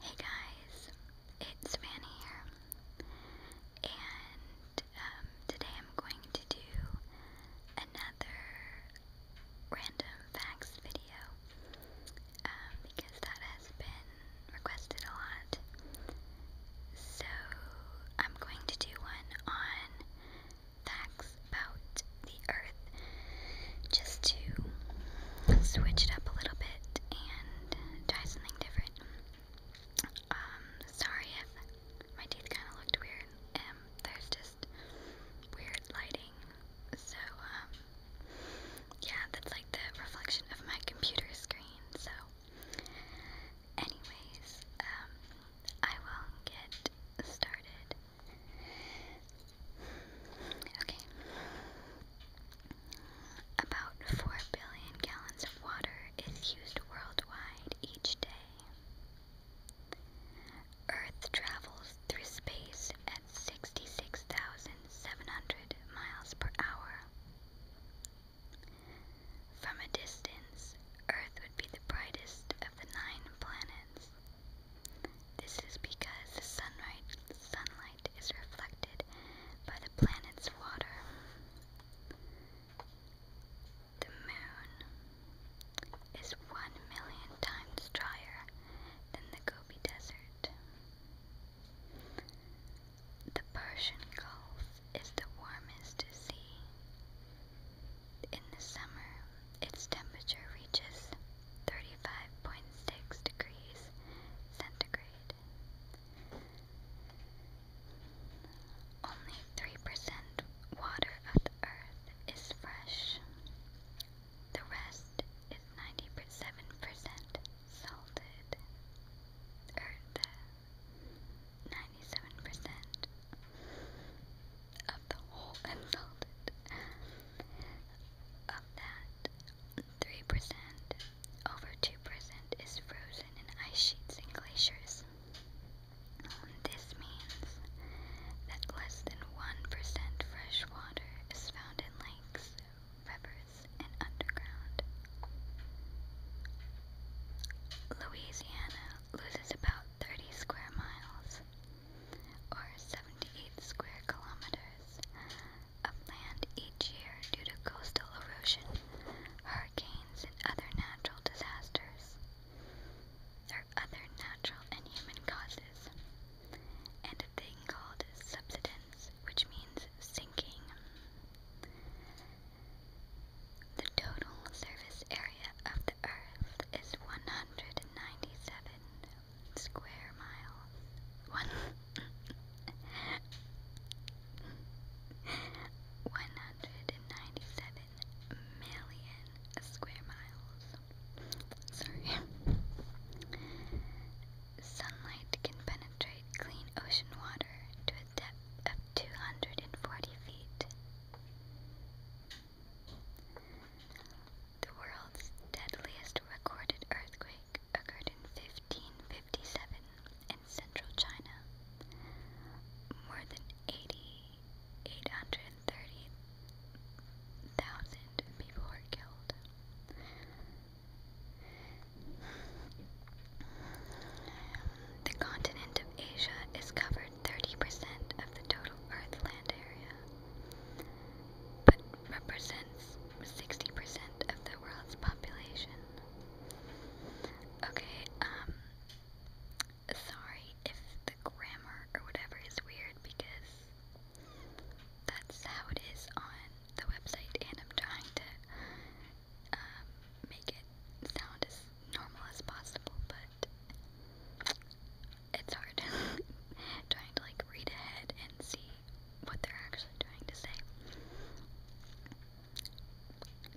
Hey guys, it's Fanny here, and um, today I'm going to do another random facts video um, because that has been requested a lot. So I'm going to do one on facts about the earth just to switch it up a little bit and try something different. Um, sorry if my teeth kind of looked weird. Um, there's just weird lighting. So, um, yeah, that's like the reflection of my computer screen. So, anyways, um, I will get started. Okay. About 4 billion gallons of water is used worldwide each day. Earth travels through space at 66,700 miles per hour. From a distance, Earth would be the brightest of the nine planets, this is because the sunlight, sunlight is reflected by the planet's water. The moon is one million times drier than the Gobi Desert. The Persian Gulf is the warmest sea. In the summer, its temperature reaches 35.6 degrees centigrade. Only 3% water of the earth is fresh. The rest is 97% salted. Or 97% of the whole and salted. Of that, 3%, over 2% is frozen in ice sheets and glaciers. This means that less than 1% fresh water is found in lakes, rivers, and underground. Louisiana loses about 30 square miles or 78 square kilometers of land each year due to coastal erosion, hurricanes, and other natural disasters, There are other natural and human causes, and a thing called subsidence, which means sinking. The total surface area of the Earth is 197 square miles. One. 197 million square miles. Sorry. Sunlight can penetrate clean ocean water to a depth of 240 feet. The world's deadliest recorded earthquake occurred in 1557 in central China. More than 830,000 people were killed. The continent of Asia is covered 30% of the total Earth land area. But represents 60% of the world's population. Okay, um, sorry if the grammar or whatever is weird because that's how it is on the website and I'm trying to um, make it sound as normal as possible, but it's hard trying to like read ahead and see what they're actually trying to say.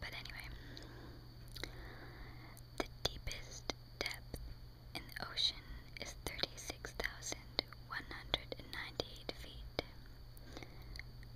But anyway, the deepest depth in the ocean is 36,198 feet,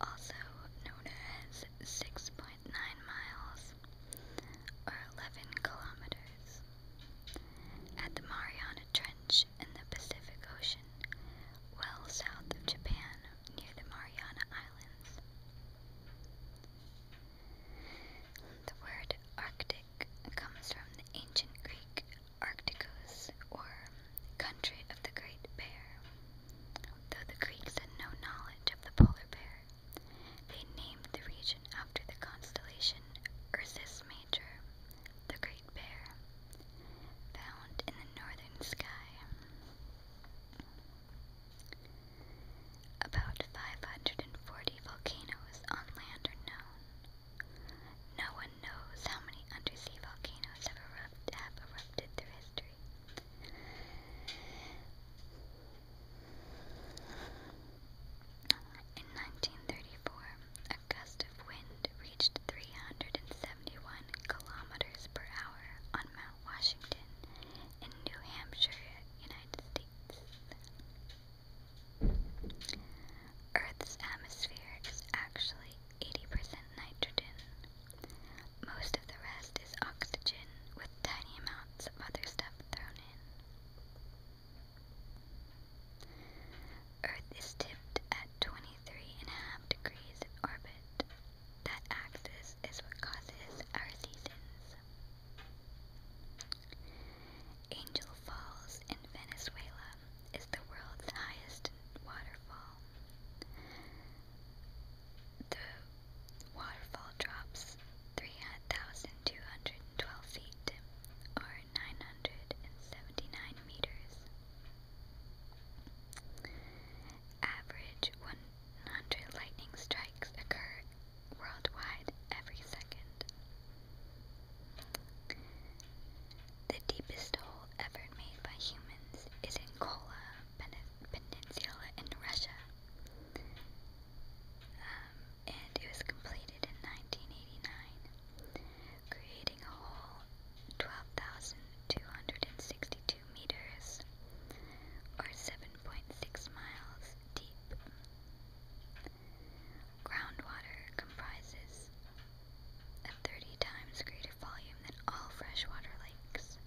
also known as 6.9 miles or 11 kilometers. At the Mariana Trench in the Pacific Ocean, well south of Japan near the Mariana Islands. The word Arctic comes from the ancient Greek Arcticos or country of the Great Bear. Though the Greeks had no knowledge of the polar bear, they named the region after the constellation Ursus the Great Bear, found in the northern sky. About 540 volcanoes on land are known. No one knows how many undersea volcanoes have erupted through history. In 1934, a gust of wind reached 371 kilometers per hour on Mount Washington in New Hampshire, United States. Earth's atmosphere is actually 80% nitrogen. Most of the rest is oxygen with tiny amounts of other stuff thrown in. Earth is tipped at 23.5 degrees in orbit. That axis is what causes our seasons. Angel Falls in Venezuela is the world's highest waterfall. The waterfall drops 3,000 212 feet, or 979 meters. Average 100 lightning strikes occur worldwide every second. The deepest hole ever made by humans is in Kola Peninsula in Russia. Um, and it was completed in 1989, creating a whole 12,262 meters or 7.6 miles deep. Groundwater comprises a 30 times greater volume than all freshwater lakes,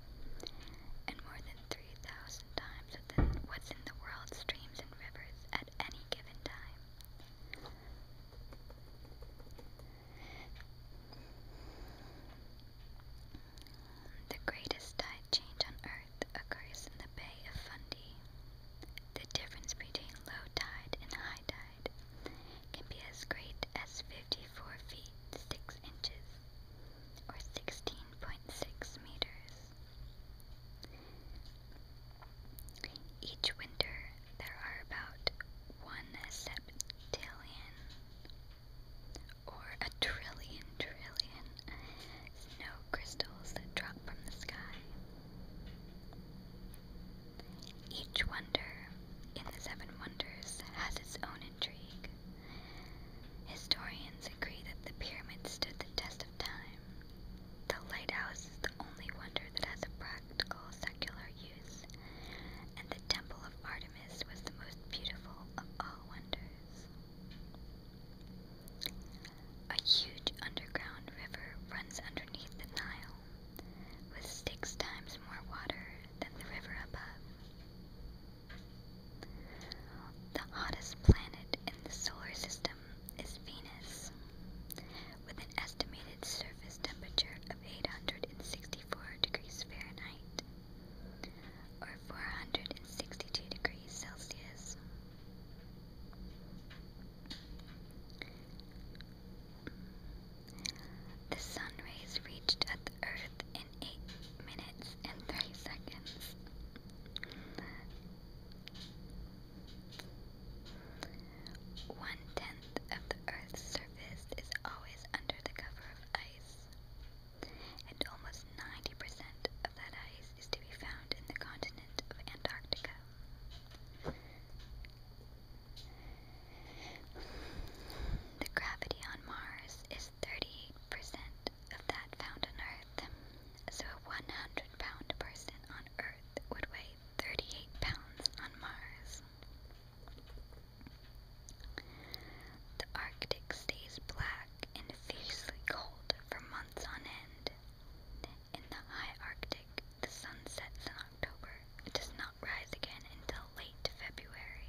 and more than 3,000 times what's in the world's streams and rivers at any given time. The greatest tide change on Earth occurs in the Bay of Fundy. The difference between low tide and high tide can be as great as 54 feet 6 inches or 16.6 meters. Each winter, there are about one septillion or a trillion trillion snow crystals that drop from the sky. Each wonder in the Seven Wonders has its own intrigue. Historians agree that the pyramids stood the test of time, the lighthouse is the only wonder that has a practical secular use, and the Temple of Artemis was the most beautiful of all wonders. A huge underground river runs underneath the Nile, with six times more water than the river above. The hottest planet in the solar system is Venus, with an estimated surface temperature of 864 degrees Fahrenheit, or 462 degrees Celsius. The sun rays reached earth in 8 minutes and 30 seconds. One tenth of the Earth's surface is always under the cover of ice, and almost 90% of that ice is to be found in the continent of Antarctica. The gravity on Mars is 38% of that found on Earth, so a 100 pound person on Earth would weigh 38 pounds on Mars. The Arctic stays black and fiercely cold for months on end. In the high Arctic, the sun sets in October. It does not rise again until late February.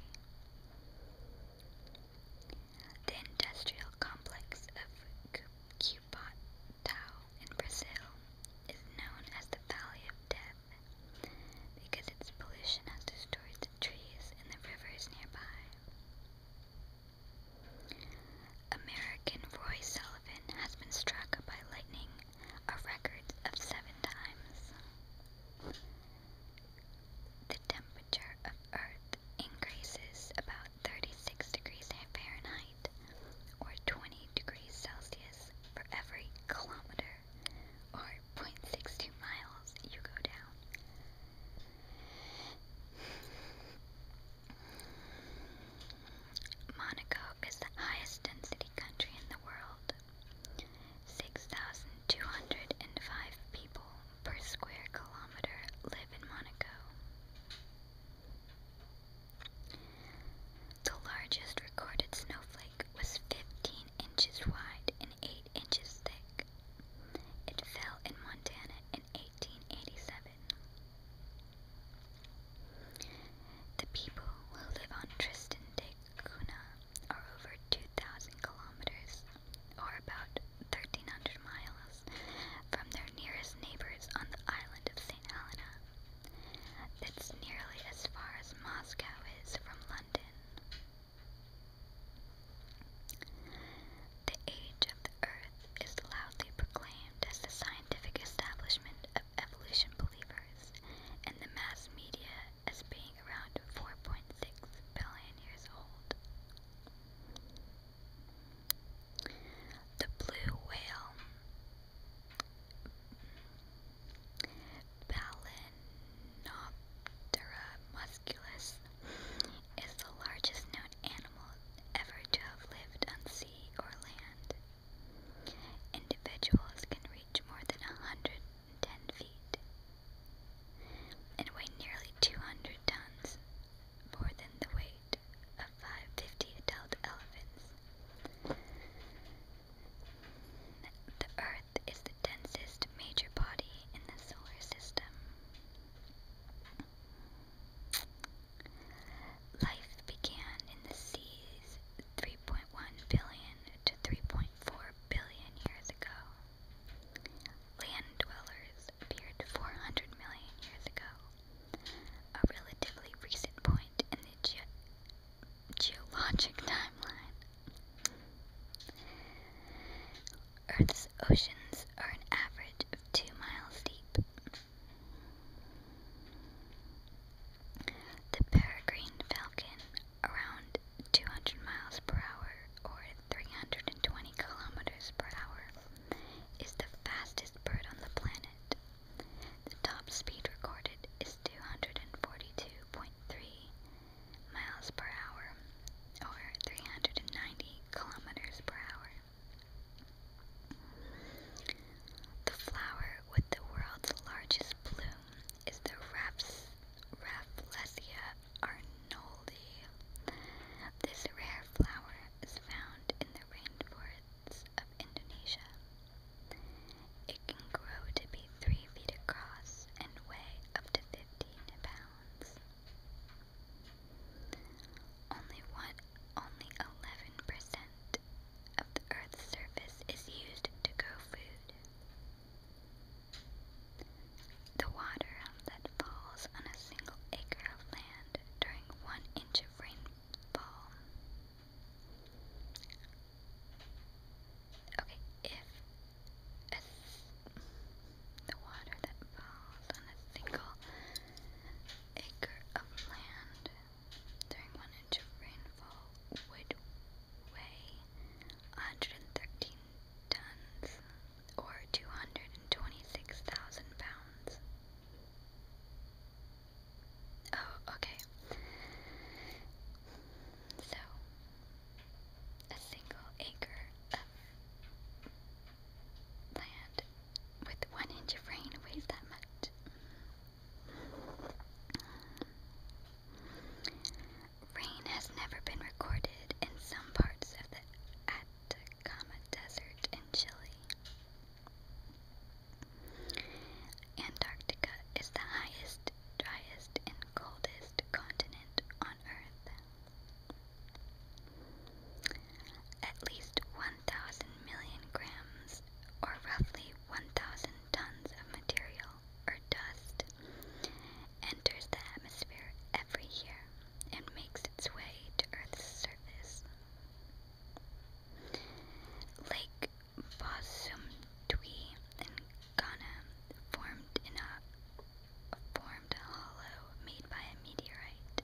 The industrial complex of Kupatau in Brazil is known as the Valley of Death because its pollution has destroyed the trees and the rivers nearby. American Roy Sullivan has been struck by lightning a record of seven times. The temperature of Earth increases about 36 degrees Fahrenheit or 20 degrees Celsius for every kilometer or 0.62 miles you go down. Monaco is the highest density country in the world. 6,205 people per square kilometer live in Monaco. The largest recorded snowflake was 15 inches wide and 8 inches thick. It fell in Montana in 1887. The people who live on Tristan da Cunha are over 2,000 kilometers, or about 1,300 miles, from their nearest neighbors on the island of St. Helena. That's nearly as far as Moscow is from London. The age of the Earth is loudly proclaimed as the scientific establishment evolution believers and the mass media as being around 4.6 billion years old. The Blue Whale Balanoptera musculus is the largest known animal ever to have lived on sea or land. Individuals can reach more than 110 feet and weigh nearly 200 tons more than the weight of 550 adult elephants. The Earth is the densest major body in the solar system. Life began in the seas 3.1 billion to 3.4 billion years ago. Land dwellers appeared 400 million years ago a relatively recent point in the geologic timeline. Earth's oceans are an average of two miles deep. The peregrine falcon, around 200 miles per hour or 320 kilometers per hour, is the fastest bird on the planet. The top speed recorded is 242.3 miles per hour or 390 kilometers per hour. The flower with the world's largest plume is the Rafflesia arnoldi. This rare flower is found in the rainforests of Indonesia. It can grow to be 3 feet across and weigh up to 15 pounds. Only one, only 11% of the Earth's surface is used to grow food. The water that falls on a single acre of land during one inch of rainfall ball. Okay, if a the water that falls on a single acre of land during one inch of rainfall would weigh 113 tons or 226,000 pounds. Oh, okay. So, a single acre of land with one inch of rain weighs that much. Rain has never been recorded in some parts of the Atacama Atacama Desert in Chile. Antarctica is the highest, driest, and coldest continent on Earth. At least 1,000 million grams, or roughly 1,000 tons of material or dust, enters the atmosphere every year and makes its way to Earth's surface. Lake Bosumtwi in Ghana formed in a formed hollow made by a meteorite.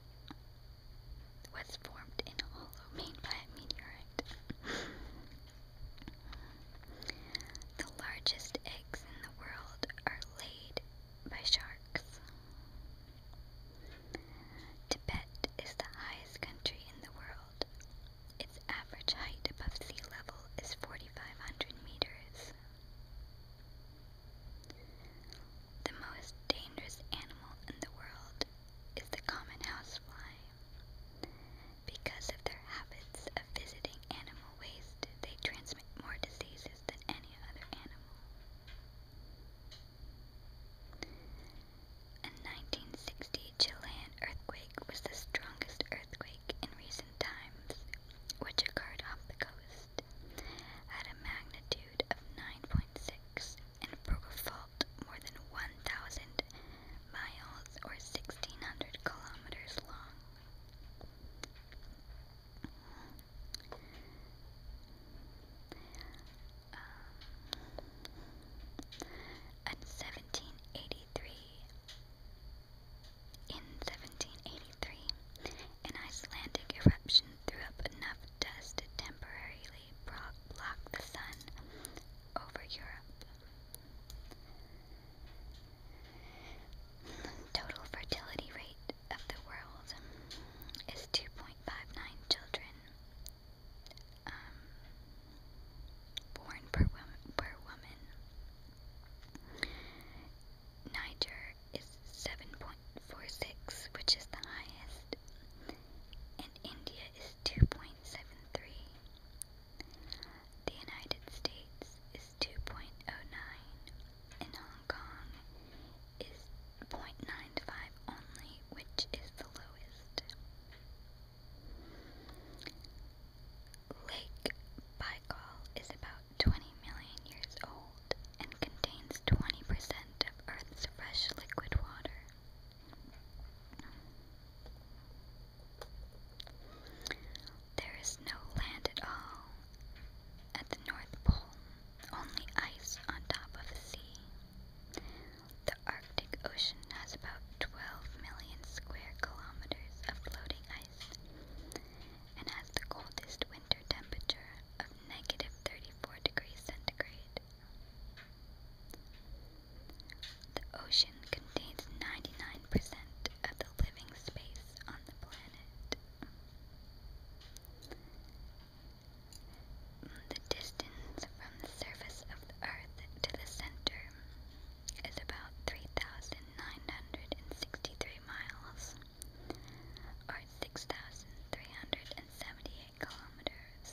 Was formed in a hollow made by a meteorite. the largest eggs in the world are laid by sharks. Tibet is the highest country in the world. Its average height above sea level is 4,500 meters. The most dangerous animal in the world is the common housefly. Because of their habits of visiting animal waste, they transmit more diseases than any other animal. A 1960 Chilean earthquake was the strongest earthquake in recent times, which occurred off the coast, at a magnitude of 9.6 and broke a fault more than 1,000 miles or 1,600 kilometers long. Um, at 1783, in 1783, an Icelandic eruption threw up enough dust to temporarily block the sun over Europe. Total fertility rate of the world is 2.59 children um, born per woman. Niger is 7.46, which is the highest, and India is 2.73. The United States is 2.09, and Hong Kong is 0.95 only, which is the lowest. Lake Baikal is about 20 million years old and contains 20% of Earth's fresh liquid water. There is no land at all at the North Pole, only ice on top of the sea. The Arctic Ocean has about 12 million square kilometers of floating ice and has the coldest winter temperature of negative 34 degrees centigrade. The ocean contains 99% of the living space on the planet. The distance from the surface of the Earth to the center is about 3,963 miles, or 6,378 kilometers.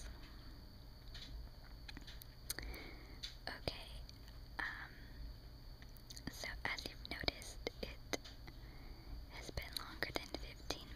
Okay, um, so as you've noticed, it has been longer than 15